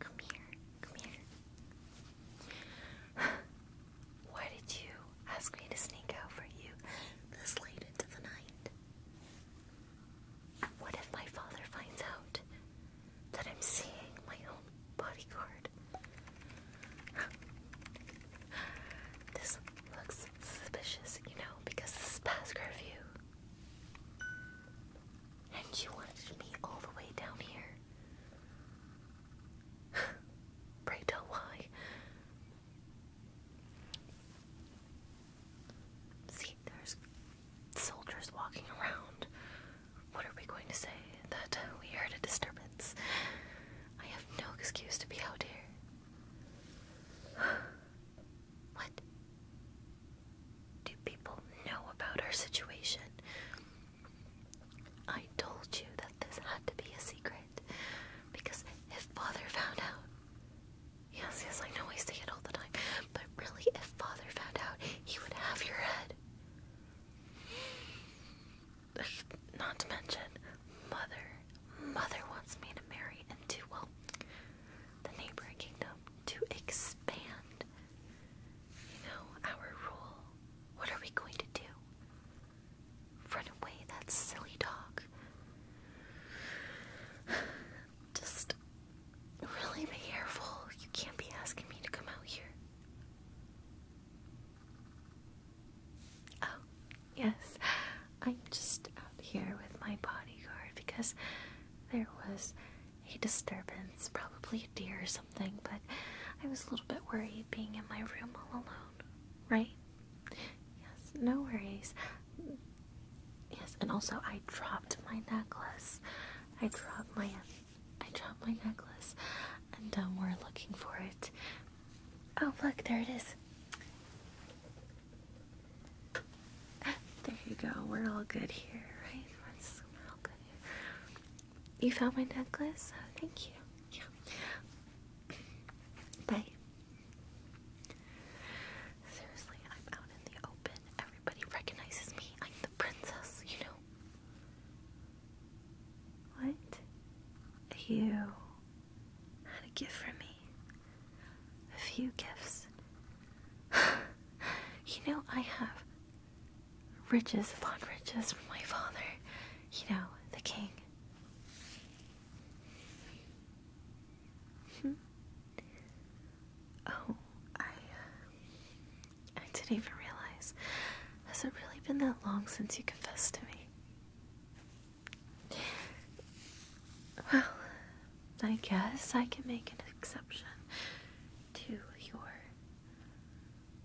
Come here, come here. Why did you ask me to sneak out for you this late into the night? What if my father finds out that I'm seeing my own bodyguard? This looks suspicious, you know, because this is past curfew. And you wanted to me all the way down here. Pray tell why. See, there's soldiers walking around. What are we going to say? That we heard a disturbance. I have no excuse to be out here. what? Do people know about our situation? I told you that this had to be a secret. Because if father found out. Yes, yes, I know I say it all the time. But really, if father found out, he would have your head not to mention, mother, mother wants me to marry into, well, the neighboring kingdom to expand, you know, our rule. What are we going to do? Run away, that silly dog. Just really be careful. You can't be asking me to come out here. Oh, Yes, I'm just out here with my bodyguard because there was a disturbance, probably a deer or something, but I was a little bit worried being in my room all alone, right? Yes, no worries. Yes, and also I dropped my necklace. I dropped my I dropped my necklace and um, we're looking for it. Oh, look, there it is. There you go. We're all good here, right? We're all good You found my necklace? Oh, thank you. Yeah. Bye. Seriously, I'm out in the open. Everybody recognizes me. I'm the princess, you know. What? You had a gift for me. A few gifts. you know, I have riches upon riches from my father. You know, the king. Hmm. Oh, I, I didn't even realize. Has it really been that long since you confessed to me? Well, I guess I can make an exception to your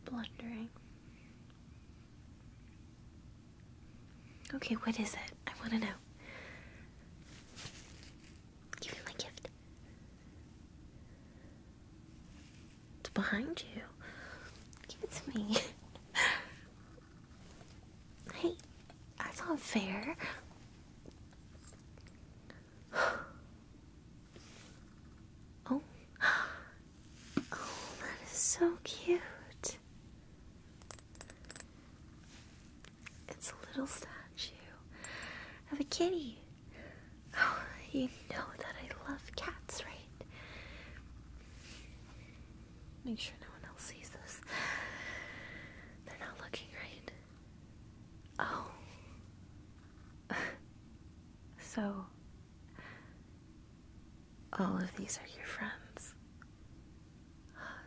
blundering. Okay, what is it? I want to know. Give me my gift. It's behind you. Give it to me. hey, that's unfair. Oh. oh, that is so cute. It's a little statue of a kitty. you know that I love cats, right? Make sure no one else sees this. They're not looking right. Oh. so, all of these are your friends.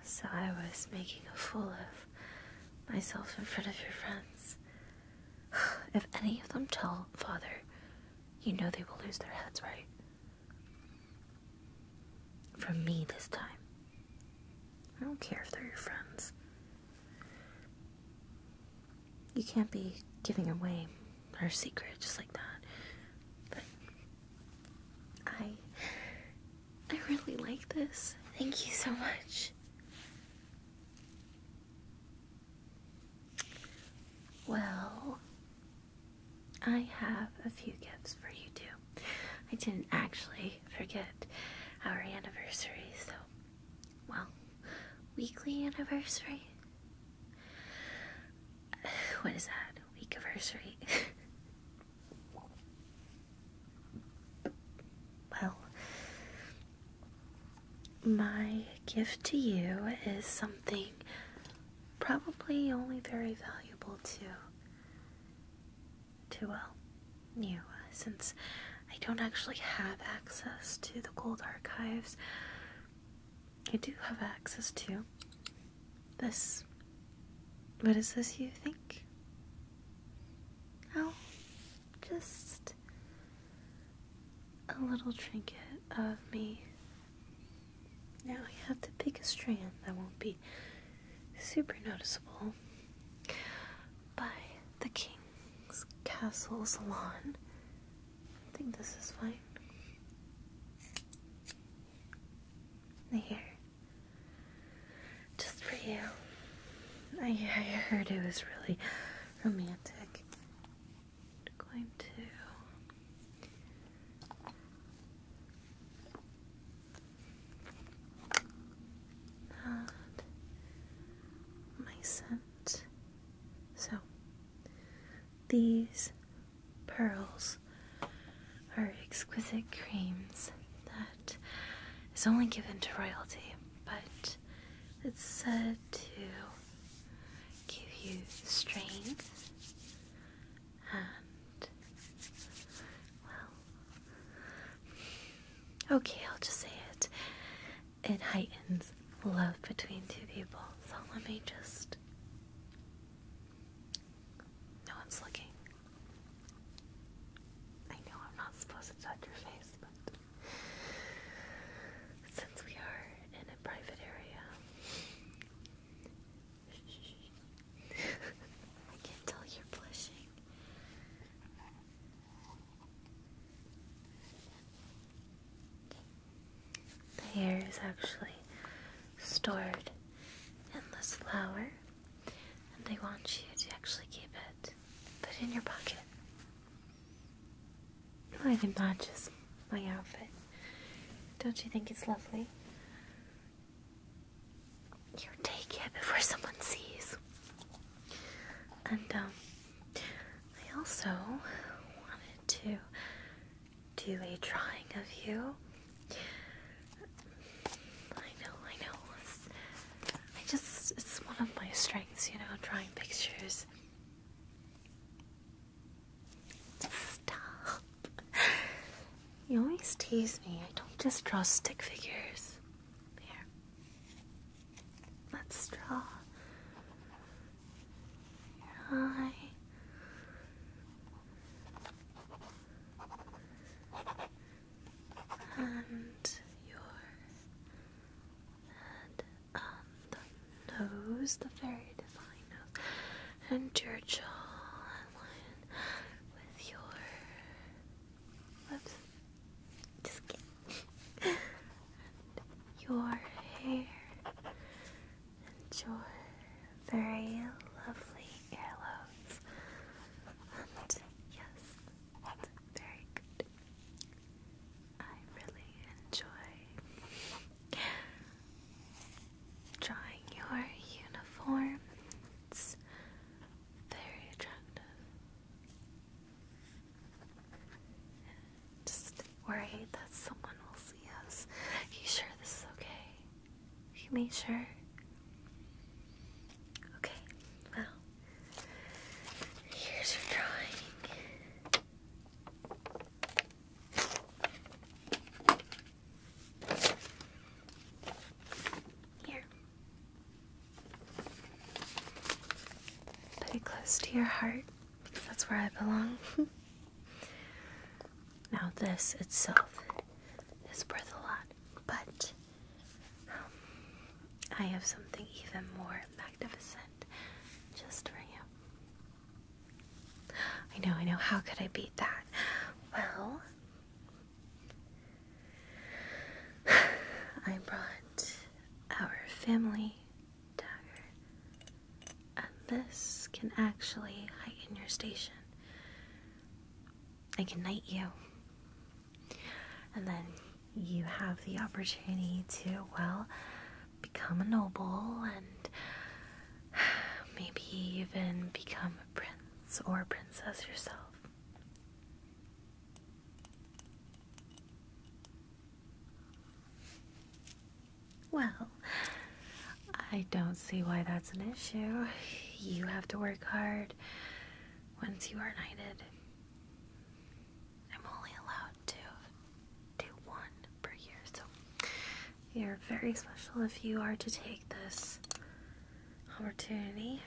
So I was making a fool of myself in front of your friends. If any of them tell Father, you know they will lose their heads, right? From me this time. I don't care if they're your friends. You can't be giving away our secret just like that. But I I really like this. Thank you so much. Well, I have a few gifts for you too. I didn't actually forget our anniversary, so, well, weekly anniversary? What is that? Week anniversary? well, my gift to you is something probably only very valuable to, to well, you, since I don't actually have access to the gold archives. I do have access to this. What is this you think? Oh, just a little trinket of me. Now I have to pick a strand that won't be super noticeable by the King's Castle Salon. I think this is fine. Here. Just for you. I heard it was really romantic. going to my scent. So these pearls are exquisite creams that is only given to royalty, but it's said to give you strength and, well, okay, I'll just say it. It heightens love between two people. So let me just. No one's looking. I know I'm not supposed to touch your face, but. Since we are in a private area, I can tell you're blushing. The hair is actually stored in this flower, and I want you to actually keep it Put it in your pocket. did not just my outfit. Don't you think it's lovely? Here, take it before someone sees. And, um, I also wanted to do a drawing of you. I know, I know. I just, it's one of my strengths, you know, drawing pictures. Stop. You always tease me. I don't just draw stick figures. Here. Let's draw your eye and your head and nose, the very defined nose, and your jaw with your lips. Just and your hair and your very lovely earlobes. And yes, that's very good. I really enjoy drawing your uniform. It's very attractive. Just worried that someone will see us. Are you sure this is okay? You made sure? Okay, well, here's your drawing. Here. Put it close to your heart because that's where I belong. now, this itself is worth a lot, but I have something even more magnificent just for you. I know, I know. How could I beat that? Well, I brought our family dagger, and this can actually heighten your station. I can knight you. And then you have the opportunity to, well, become a noble and maybe even become a prince or princess yourself. Well, I don't see why that's an issue. You have to work hard once you are knighted. I'm only allowed to do one per year, so you're very special if you are to take this opportunity.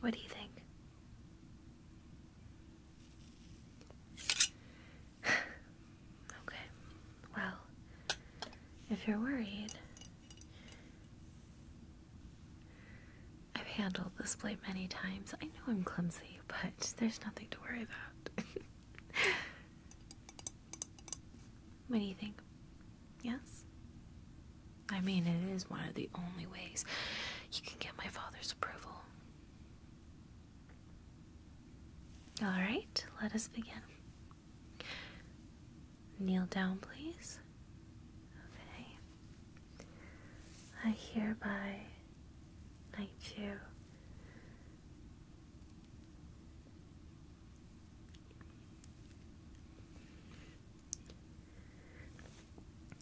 What do you think? Okay. Well, if you're worried, I've handled this blade many times. I know I'm clumsy, but there's nothing to worry about. what do you think? Yes? I mean, it is one of the only ways you can get my father's approval. Alright, let us begin. Kneel down, please. Okay. I hereby knight you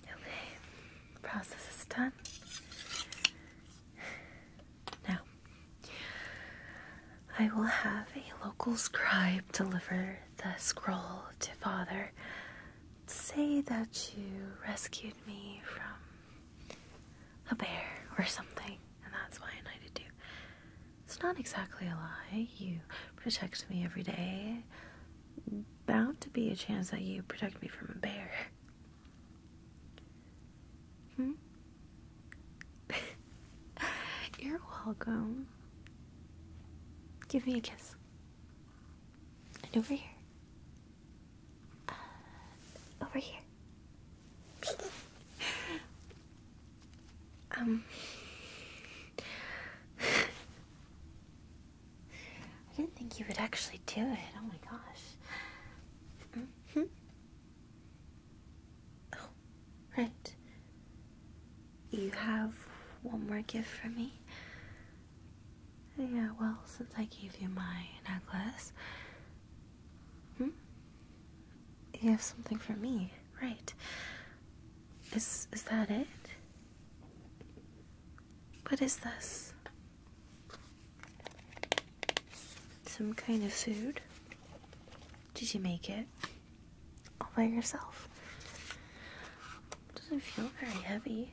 Okay, process is done. Now, I will have a local scribe deliver the scroll to Father. Say that you rescued me from a bear or something, and that's why I need knighted you. It's not exactly a lie. You protect me every day. Bound to be a chance that you protect me from a bear. Hmm? You're welcome. Give me a kiss. And over here. Uh, over here. um. I didn't think you would actually do it. Oh my gosh. -hmm. Oh, right. You have one more gift for me? Yeah, well, since I gave you my necklace. Hmm? You have something for me, right? Is is that it? What is this? Some kind of food? Did you make it? All by yourself? Doesn't feel very heavy.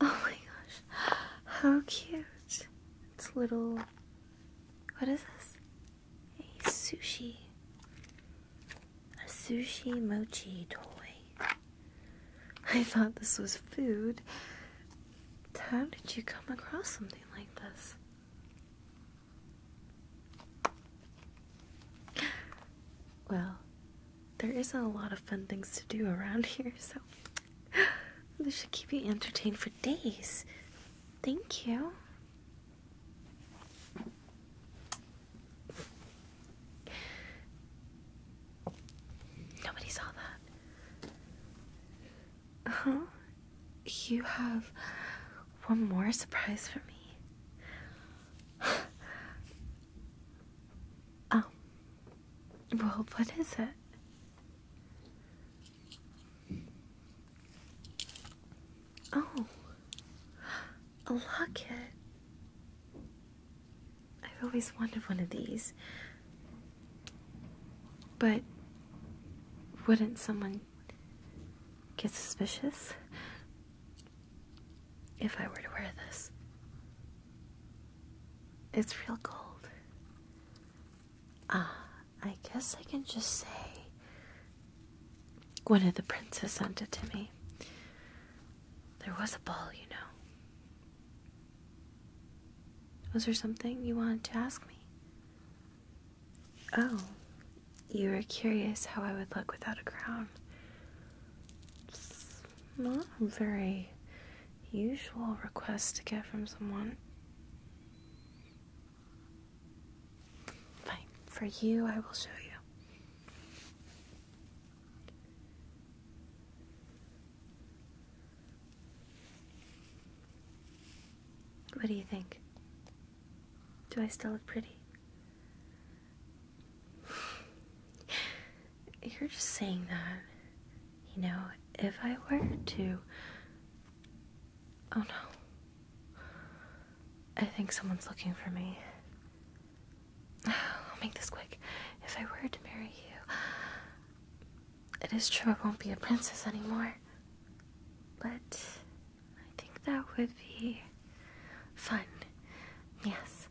Oh my gosh. How cute. It's little. What is this? A sushi. A sushi mochi toy. I thought this was food, how did you come across something like this? Well, there isn't a lot of fun things to do around here, so this should keep you entertained for days. Thank you. Nobody saw that. Oh, you have one more surprise for me. oh, well, what is it? Oh, a locket. I've always wanted one of these. But wouldn't someone get suspicious if I were to wear this? It's real gold. Ah, I guess I can just say one of the princes sent it to me. There was a ball, you know. Was there something you wanted to ask me? Oh, you were curious how I would look without a crown. It's not a very usual request to get from someone. Fine, for you, I will show you. What do you think? Do I still look pretty? You're just saying that. You know, if I were to. Oh no. I think someone's looking for me. I'll make this quick. If I were to marry you, it is true I won't be a princess anymore. But I think that would be fun. Yes.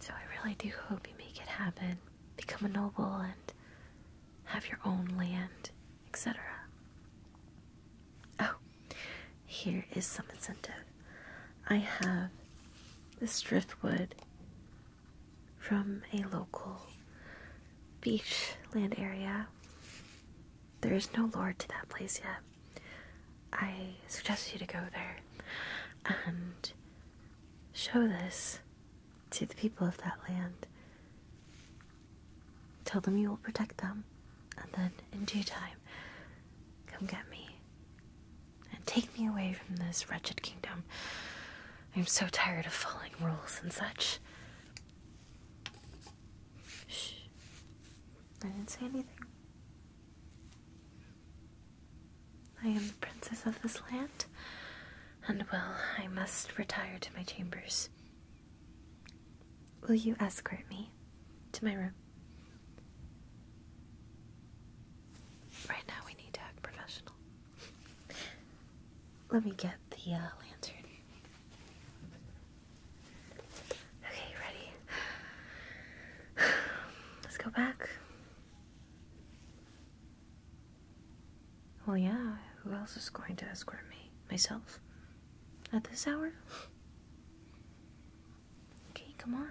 So I really do hope you make it happen. Become a noble and have your own land, etc. Oh, here is some incentive. I have this driftwood from a local beach land area. There is no lord to that place yet. I suggest you to go there and show this to the people of that land. Tell them you will protect them, and then in due time, come get me and take me away from this wretched kingdom. I'm so tired of following rules and such. Shh. I didn't say anything. I am the princess of this land, and well, I must retire to my chambers. Will you escort me? to my room. Right now, we need to act professional. Let me get the uh, lantern. Okay, ready? Let's go back. Well, yeah, who else is going to escort me? Myself? At this hour? Okay, come on.